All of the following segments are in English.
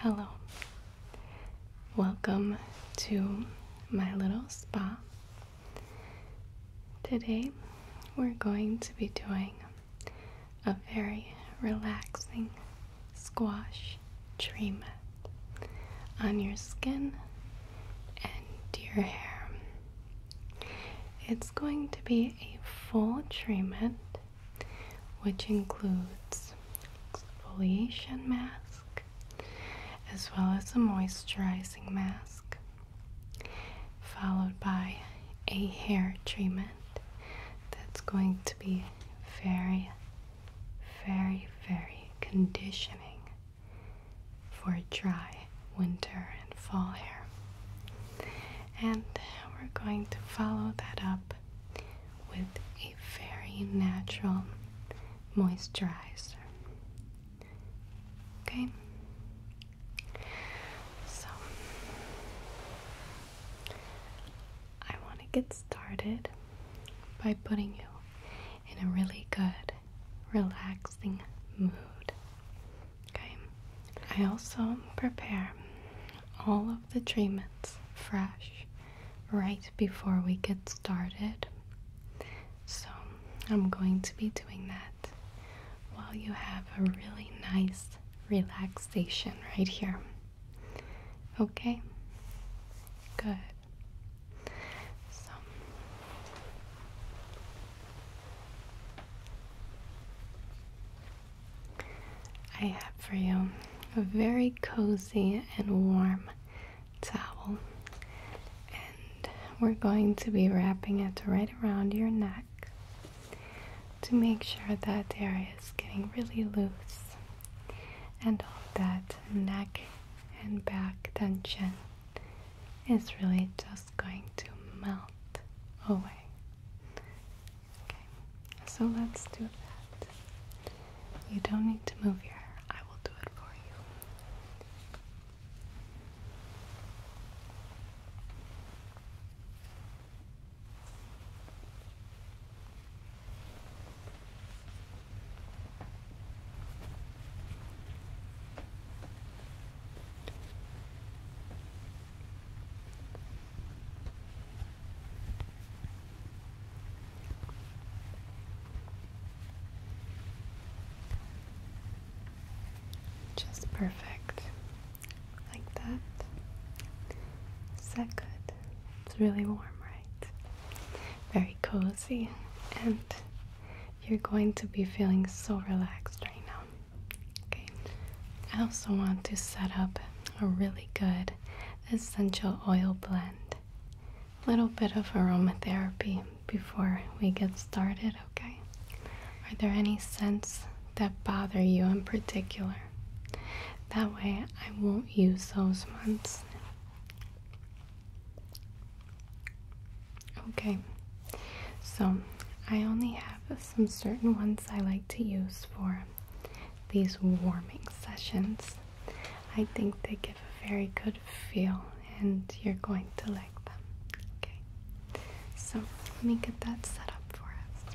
Hello. Welcome to my little spa. Today we're going to be doing a very relaxing squash treatment on your skin and your hair. It's going to be a full treatment which includes exfoliation mask as well as a moisturizing mask followed by a hair treatment that's going to be very, very, very conditioning for dry winter and fall hair. And we're going to follow that up with a very natural moisturizer. Okay? So, I want to get started by putting you in a really good, relaxing mood. Okay, I also prepare all of the treatments fresh right before we get started. So, I'm going to be doing that while you have a really nice relaxation right here. Okay? Good. So I have for you a very cozy and warm towel, and we're going to be wrapping it right around your neck to make sure that area is getting really loose and all that neck and back tension is really just going to melt away. so let's do that. You don't need to move your hair, I will do it for you. Just perfect like that. Is that good? It's really warm, right? Very cozy, and you're going to be feeling so relaxed right now. Okay, I also want to set up a really good essential oil blend, little bit of aromatherapy before we get started, okay? Are there any scents that bother you in particular? That way I won't use those ones. Okay, so I only have some certain ones I like to use for these warming sessions. I think they give a very good feel and you're going to like them. Okay. So let me get that set up for us.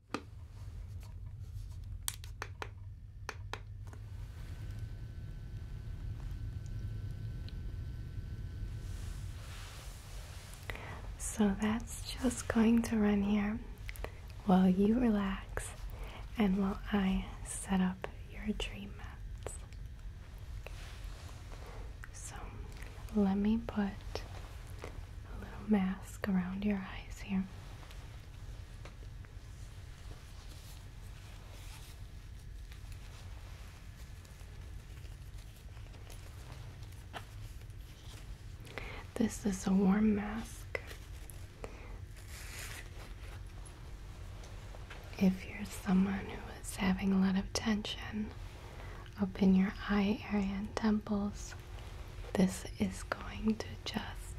So that's just going to run here while you relax and while I set up your dream mats. So let me put a little mask around your eyes here. This is a warm mask. If you're someone who is having a lot of tension open your eye area and temples, this is going to just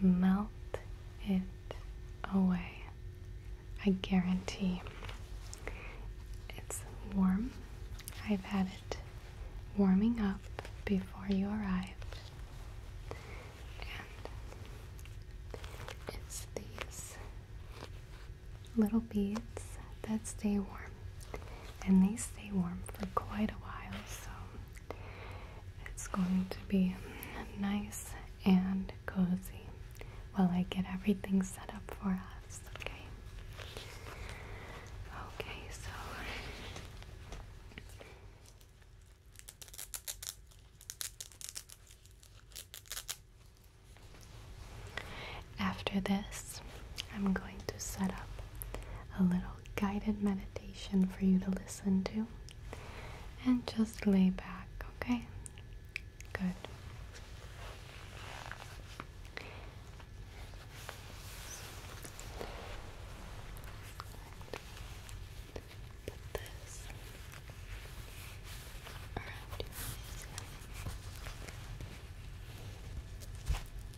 melt it away. I guarantee it's warm. I've had it warming up before you arrived. And it's these little beads that stay warm. And they stay warm for quite a while, so it's going to be nice and cozy while I get everything set up for us, okay? Okay, so after this, I'm going to set up a little guided meditation for you to listen to and just lay back, okay? Good.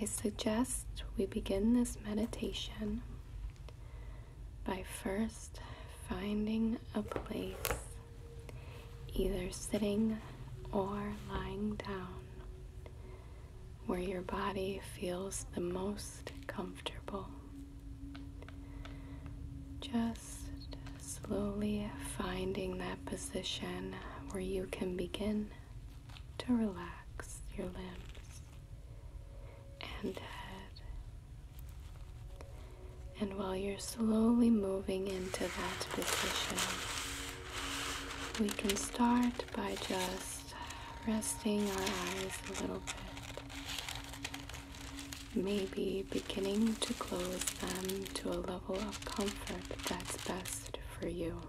I suggest we begin this meditation by first finding a place, either sitting or lying down, where your body feels the most comfortable. Just slowly finding that position where you can begin to relax your limbs and head. And while you're slowly moving into that position, we can start by just resting our eyes a little bit. Maybe beginning to close them to a level of comfort that's best for you.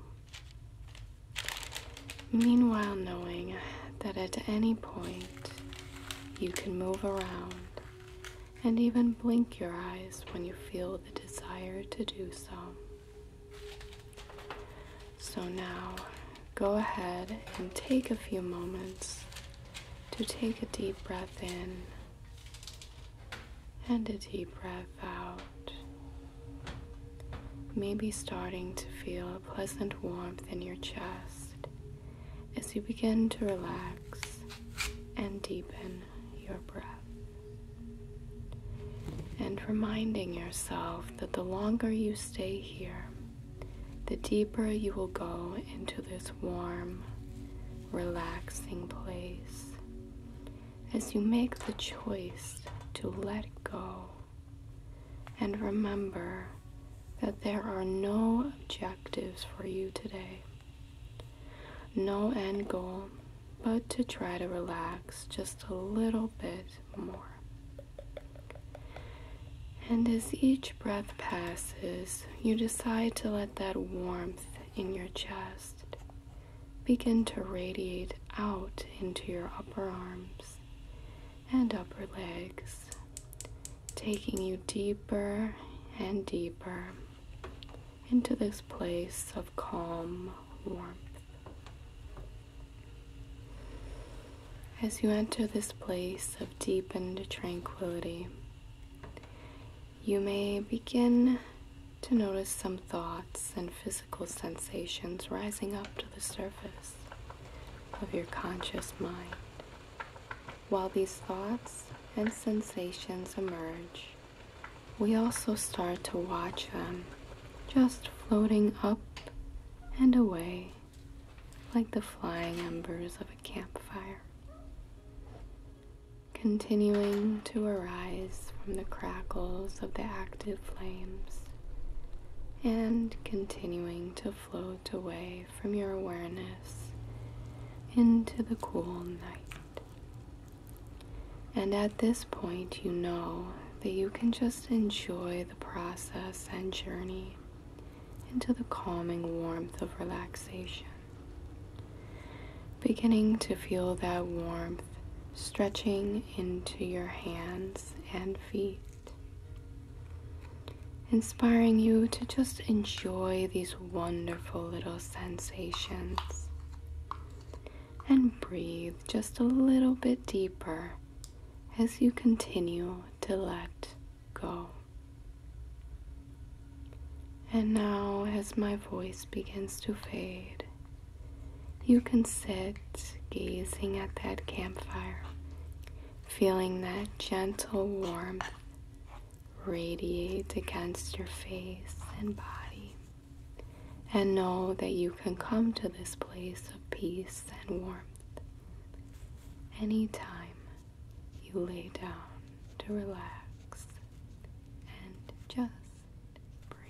Meanwhile, knowing that at any point you can move around and even blink your eyes when you feel the desire to do so. So now go ahead and take a few moments to take a deep breath in and a deep breath out. Maybe starting to feel a pleasant warmth in your chest as you begin to relax and deepen your breath. And reminding yourself that the longer you stay here, the deeper you will go into this warm, relaxing place as you make the choice to let go. And remember that there are no objectives for you today, no end goal, but to try to relax just a little bit more. And as each breath passes, you decide to let that warmth in your chest begin to radiate out into your upper arms and upper legs, taking you deeper and deeper into this place of calm warmth. As you enter this place of deepened tranquility, you may begin to notice some thoughts and physical sensations rising up to the surface of your conscious mind. While these thoughts and sensations emerge, we also start to watch them just floating up and away like the flying embers of a campfire, continuing to arise from the crackles of the active flames and continuing to float away from your awareness into the cool night. And at this point, you know that you can just enjoy the process and journey into the calming warmth of relaxation. Beginning to feel that warmth stretching into your hands and feet, inspiring you to just enjoy these wonderful little sensations and breathe just a little bit deeper as you continue to let go. And now, as my voice begins to fade, you can sit gazing at that campfire, feeling that gentle warmth radiate against your face and body, and know that you can come to this place peace and warmth anytime you lay down to relax and just breathe.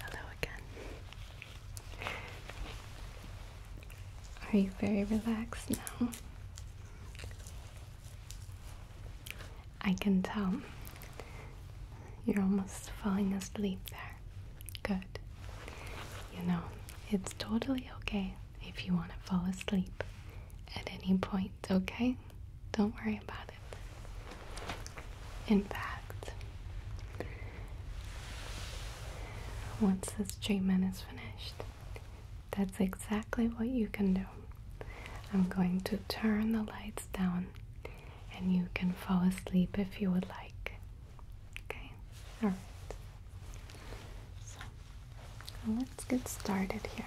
Hello again. Are you very relaxed now? I can tell. You're almost falling asleep there. Good. You know, it's totally okay if you want to fall asleep at any point, okay? Don't worry about it. In fact, once this treatment is finished, that's exactly what you can do. I'm going to turn the lights down and you can fall asleep if you would like. Okay, all right. So let's get started here.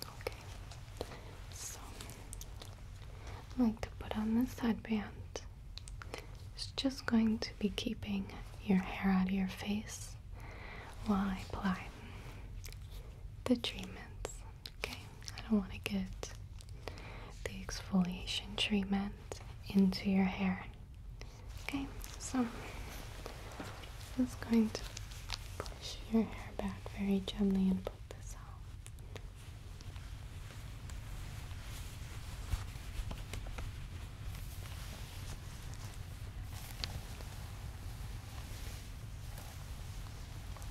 Okay, so I like to put on this headband. It's just going to be keeping your hair out of your face while I apply the treatments. Okay, I don't want to get the exfoliation treatment into your hair. Okay, so I'm just going to push your hair back very gently and put this out.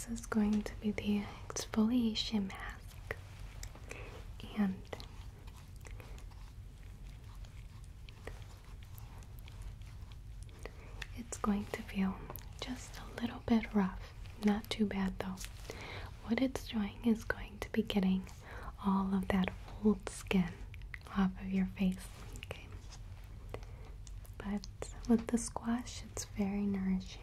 This is going to be the exfoliation mask, and it's going to feel just a little bit rough. Not too bad though. What it's doing is going to be getting all of that old skin off of your face. But with the squash, it's very nourishing.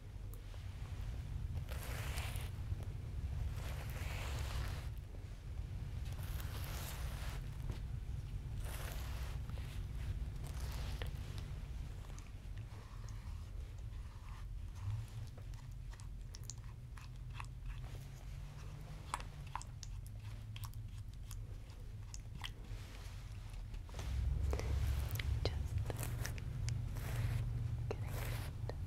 Just getting it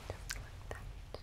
just like that. Okay.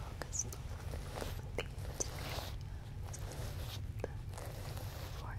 Focus on the the forehead.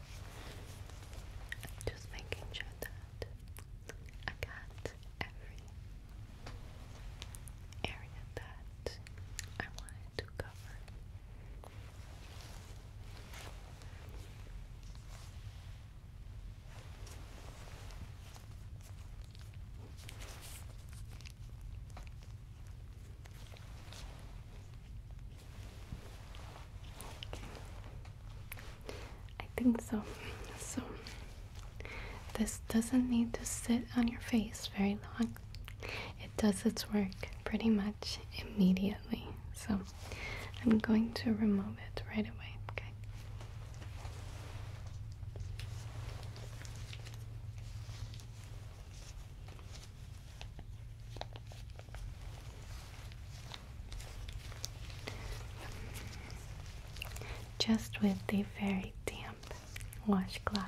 Just making sure that I got every area that I wanted to cover. I think so. So, this doesn't need to sit on your face very long. It does its work pretty much immediately. So, I'm going to remove it right away. Okay just with the very damp washcloth.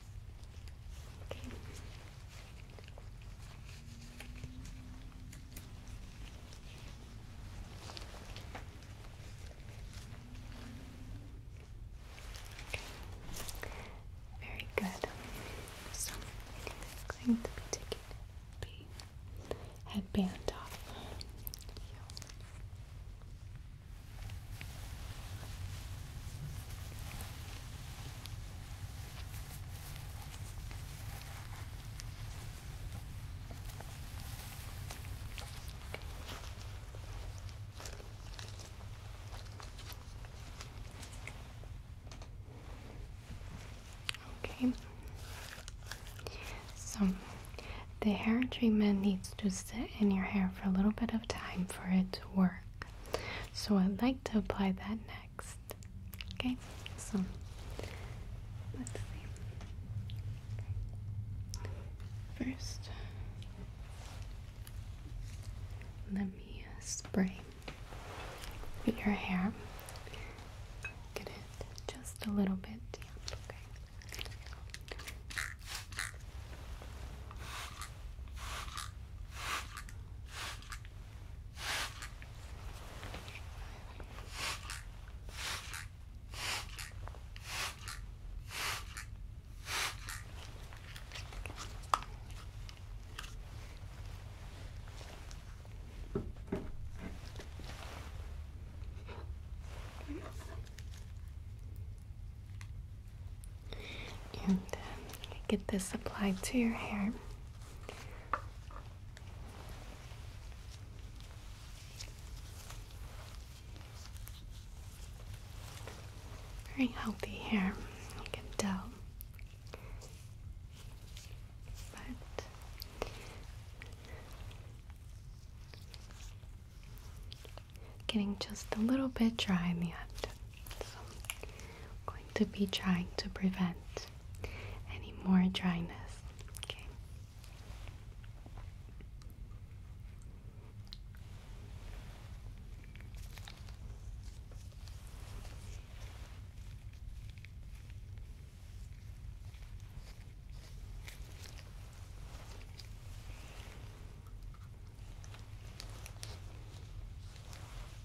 Okay. okay. Very good. So I'm going to be taking the headband off. Okay. So the hair treatment needs to sit in your hair for a little bit of time for it to work. So I'd like to apply that next. Okay, so let's see. First, let me uh, spray your hair. Get it just a little bit. Yeah, and um, get this applied to your hair. Very healthy hair, you can tell. But getting just a little bit dry in the end. So I'm going to be trying to prevent any more dryness. Okay.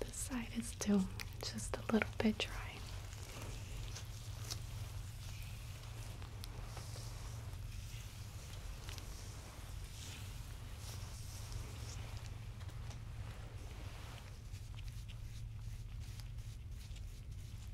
this side is too, just a little bit dry.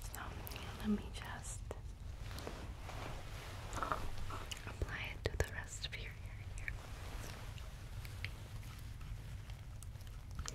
So let me just apply it to the rest of your here, here, and here. Okay.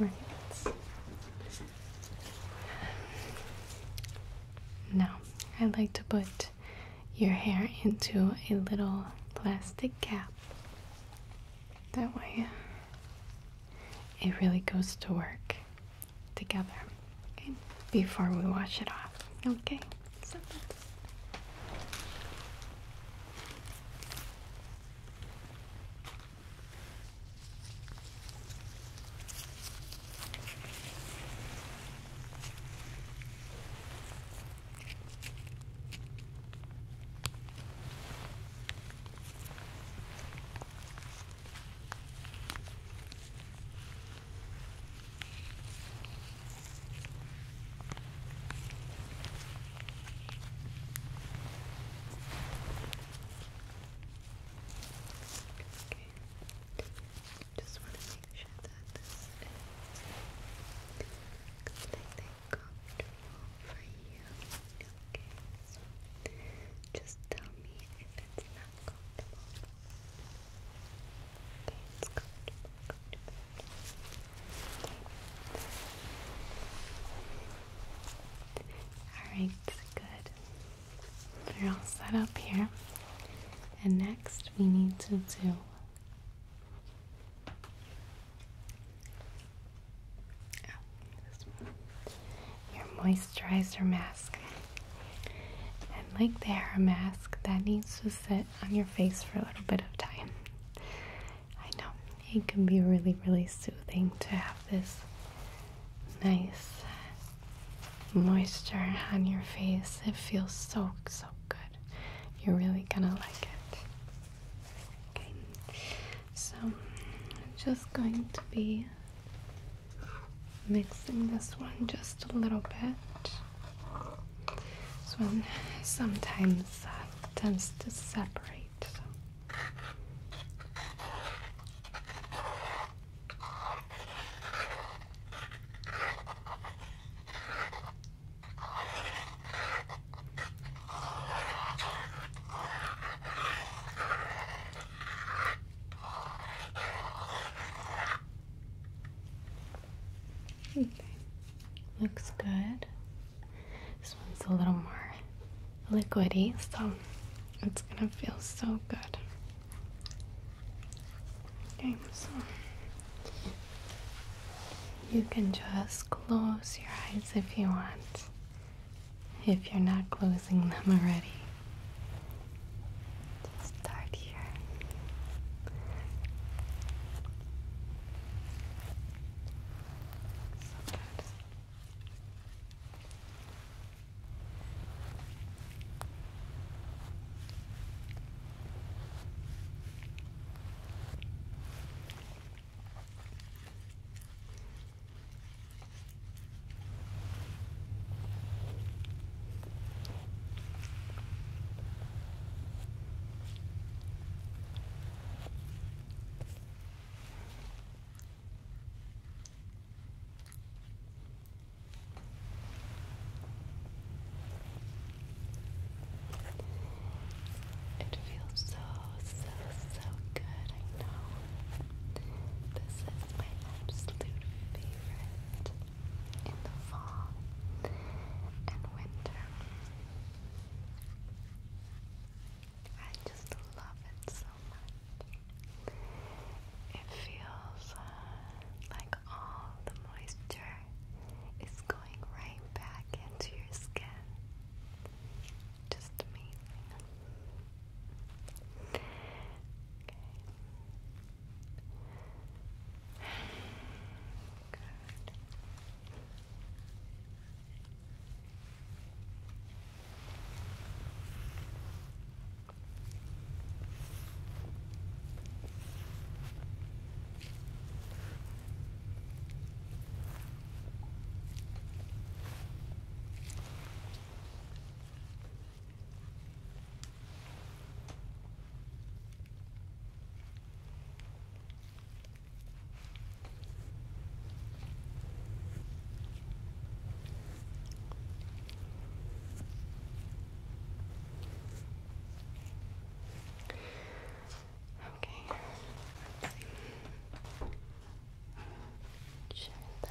All right. Um, now, I'd like to put your hair into a little plastic cap. That way, it really goes to work together before we wash it off. Okay, so Okay. Just want to make sure that this is completely comfortable for you. Okay, so just tell me if it's not comfortable. Okay, it's comfortable, comfortable. Alright, good. They're all set up here. And next we need to do your moisturizer mask. And like the hair mask, that needs to sit on your face for a little bit of time. I know it can be really, really soothing to have this nice moisture on your face. It feels so, so good. You're really gonna like it. Okay, so I'm just going to be mixing this one just a little bit. This one sometimes uh, tends to separate. Okay. Looks good. This one's a little more liquidy, so it's gonna feel so good. Okay, so you can just close your eyes if you want if you're not closing them already. Just start here. It feels so, so, so good, I know. This is my absolute favorite in the fall and winter. I just love it so much. It feels uh, like all the moisture is going right back into your skin. Just amazing. Okay. Good. Okay. Share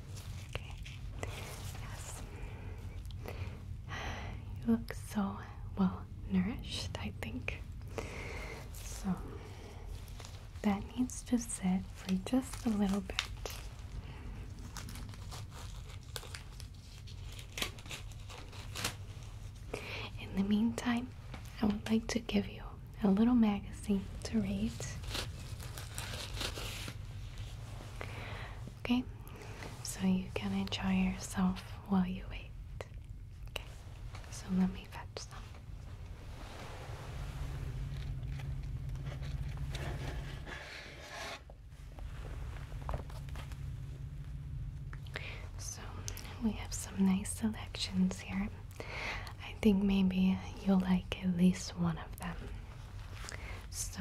Okay. Yes. You look so well nourished, I think. So that needs to sit for just a little bit. In the meantime, I would like to give you a little magazine to read. Okay, so you can enjoy yourself while you wait. Okay, so let me fetch them. So we have some nice selections here. I think maybe you'll like at least one of them. So,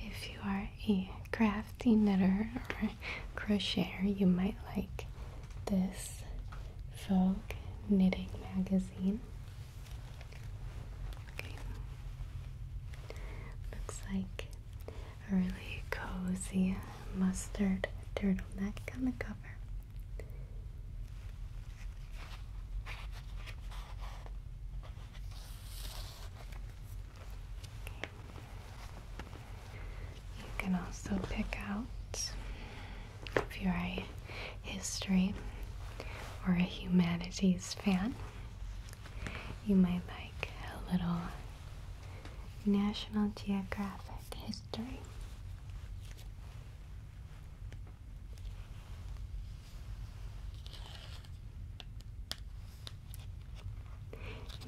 if you are a crafty knitter or crocheter, you might like this Vogue knitting magazine. Looks like a really cozy mustard turtleneck on the cover. You can also pick out if you're a history or a humanities fan. You might like a little National Geographic history.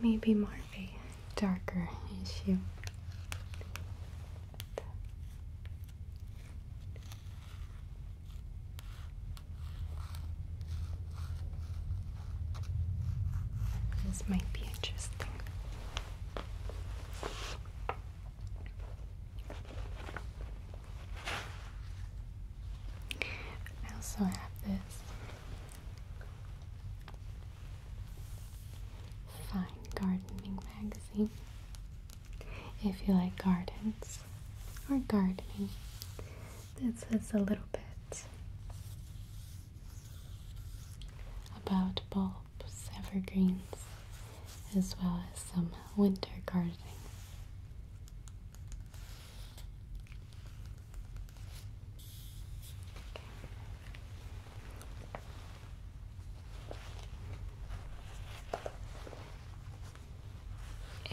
Maybe more of a darker issue. This might be interesting. I also have this fine gardening magazine. If you like gardens or gardening, this is a little bit about both evergreens, as well as some winter gardening.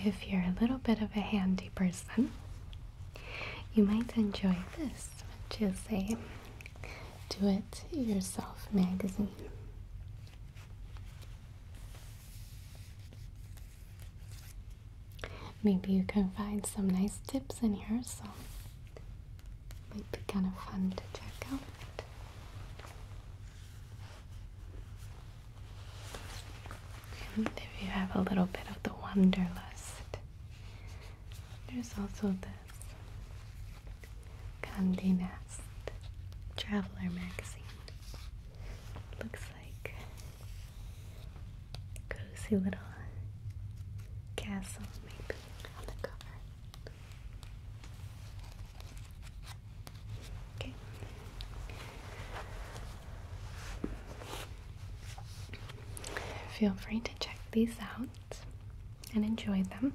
If you're a little bit of a handy person, you might enjoy this, which is a do it yourself magazine. Maybe you can find some nice tips in here, so it might be kind of fun to check out. If you have a little bit of the wanderlust. There's also this Condé Nast Traveler magazine. Looks like cozy little castle, maybe, on the cover. Feel free to check these out and enjoy them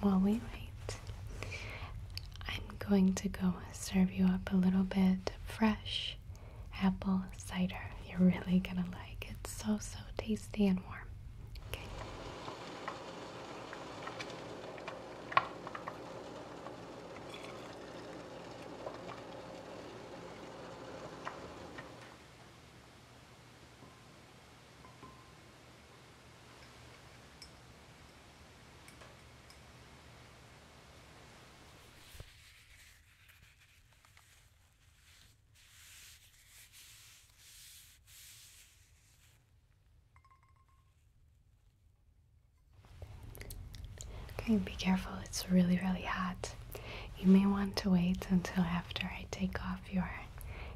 while we wait. I'm going to go serve you up a little bit fresh apple cider. You're really gonna like It's so, so tasty and warm. Okay. Okay, be careful, it's really, really hot. You may want to wait until after I take off your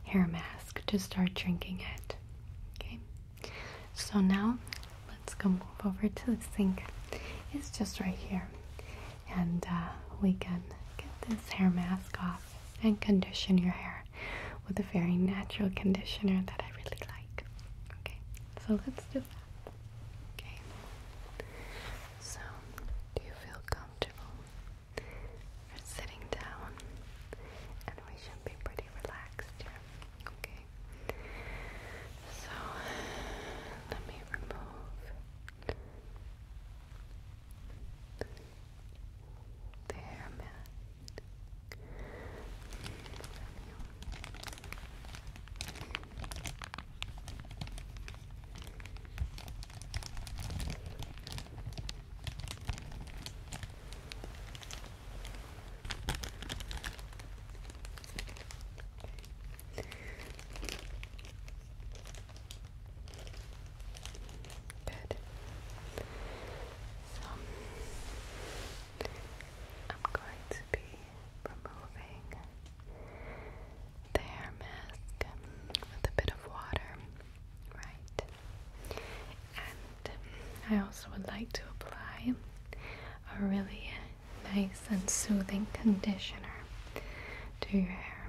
hair mask to start drinking it. Okay, so now let's go move over to the sink. It's just right here, and uh, we can get this hair mask off and condition your hair with a very natural conditioner that I really like. Okay, so let's do that. Okay. So, do you feel comfortable? We're sitting down and we should be pretty relaxed here. Okay. So let me remove the hair mat. Good. So I'm going to be removing the hair mask with a bit of water. Right. And I also would like to apply a really nice and soothing conditioner to your hair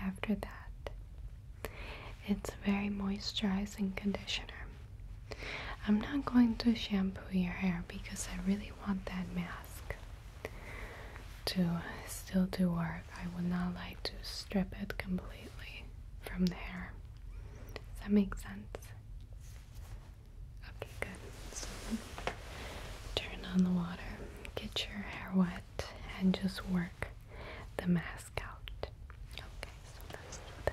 after that. It's a very moisturizing conditioner. I'm not going to shampoo your hair because I really want that mask to still do work. I would not like to strip it completely from the hair. Does that make sense? Okay, good. turn on the water, get your hair wet, and just work the mask out. Okay, so let's do that.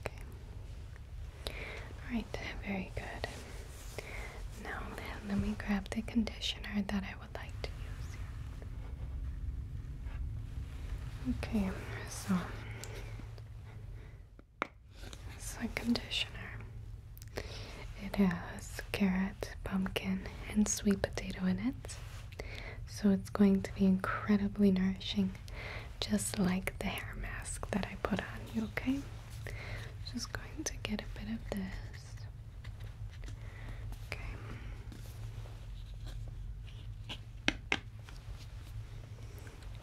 Okay. Alright, very good. Now let me grab the conditioner that I would like to use Okay, so it's a conditioner. It has carrot, pumpkin, and sweet potato in it. So it's going to be incredibly nourishing just like the hair mask that I put on you, okay? Just going to get a bit of this. Okay.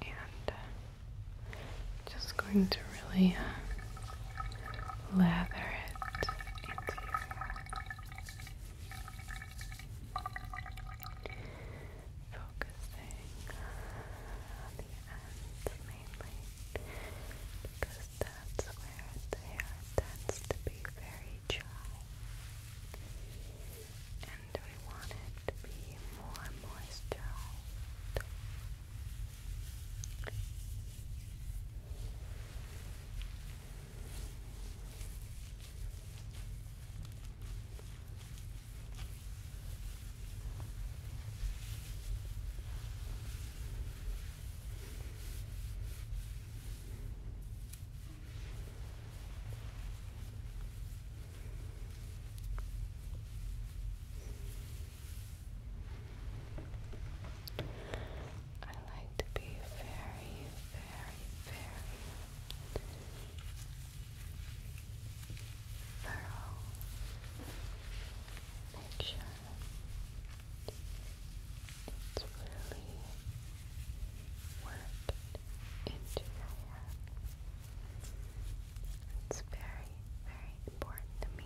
And uh, just going to really uh, lather it into your focusing on the ends mainly because that's where hair tends to be very dry and we want to be more moisturized. I like to be very, very, very thorough picture. It's really worked into your hair. It's very, very important to me.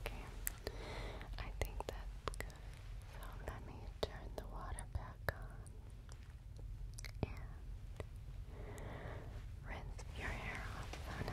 Okay, I think that's good. So let me turn the water back on. And rinse your hair off. Oh no.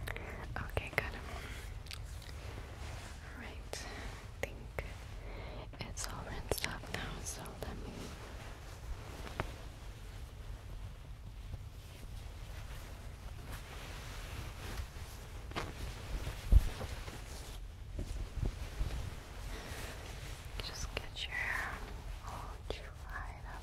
Okay, good. Alright, I think it's all rinsed off now, so let me. Just get your arch right up.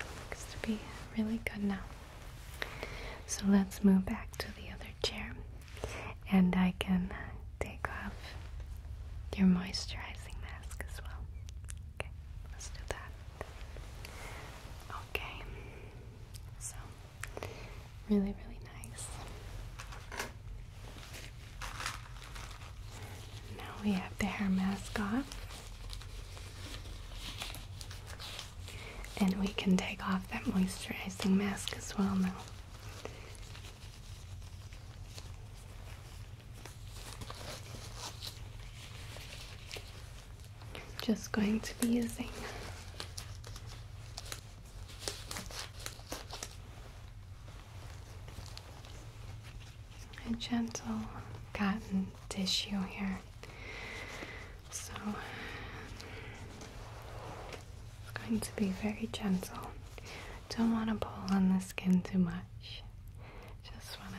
Looks to be really good now. So let's move back to the other chair and I can take off your moisturizing mask as well. Okay, let's do that. Okay, so really, really nice. Now we have the hair mask off. And we can take off that moisturizing mask as well now. Just going to be using a gentle cotton tissue here so it's going to be very gentle. Don't want to pull on the skin too much. Just want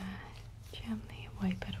to gently wipe it away.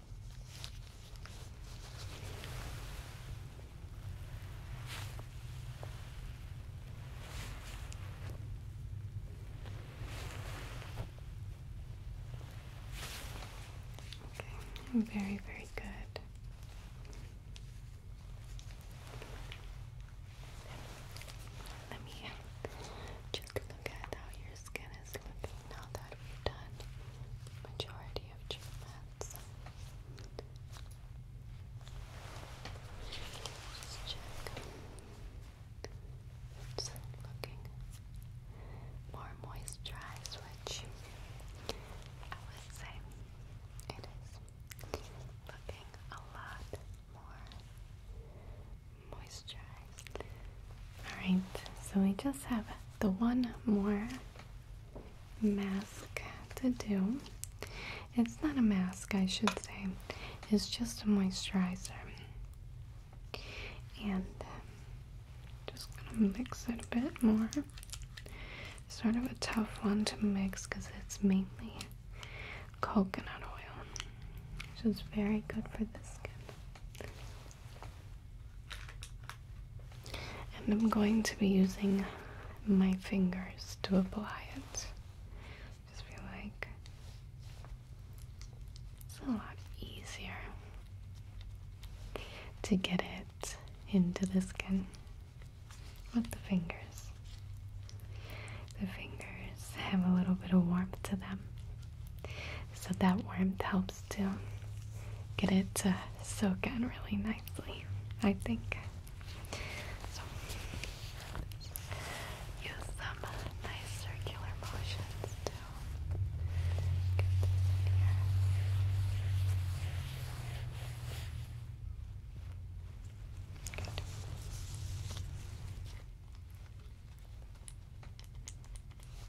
Okay, very, very good. Let me just look at how your skin is looking now that we've done majority of treatments, just check. It's looking more moisturized, which I would say it is looking a lot more moisturized Alright, so we just have the one more mask to do. It's not a mask, I should say, it's just a moisturizer. And um, just gonna mix it a bit more. Sort of a tough one to mix because it's mainly coconut oil, which is very good for the skin. And I'm going to be using my fingers to apply it. Just feel like it's a lot easier to get it into the skin with the fingers. The fingers have a little bit of warmth to them. So that warmth helps to get it to soak in really nicely, I think. use some nice circular motions to Good. Good. Right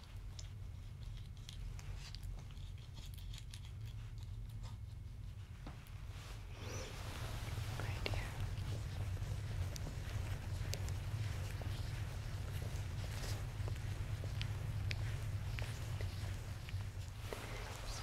Right here. So.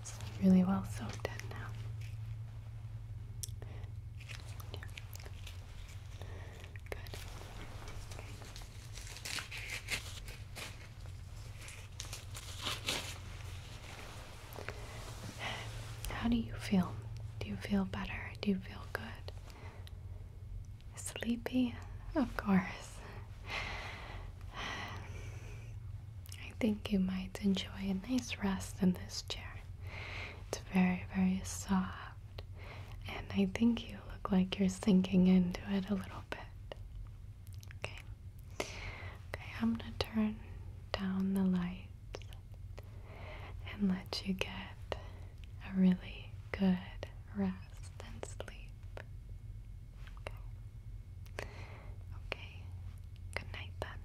It's really well soaked in now. Yeah. How do you feel? Do you feel better? Do you feel good? Sleepy? Of course. I think you might enjoy a nice rest in this chair. It's very, very soft, and I think you look like you're sinking into it a little bit. Okay. Okay, I'm gonna turn down the lights and let you get a really good rest rest and sleep. Okay. Okay. Good night then.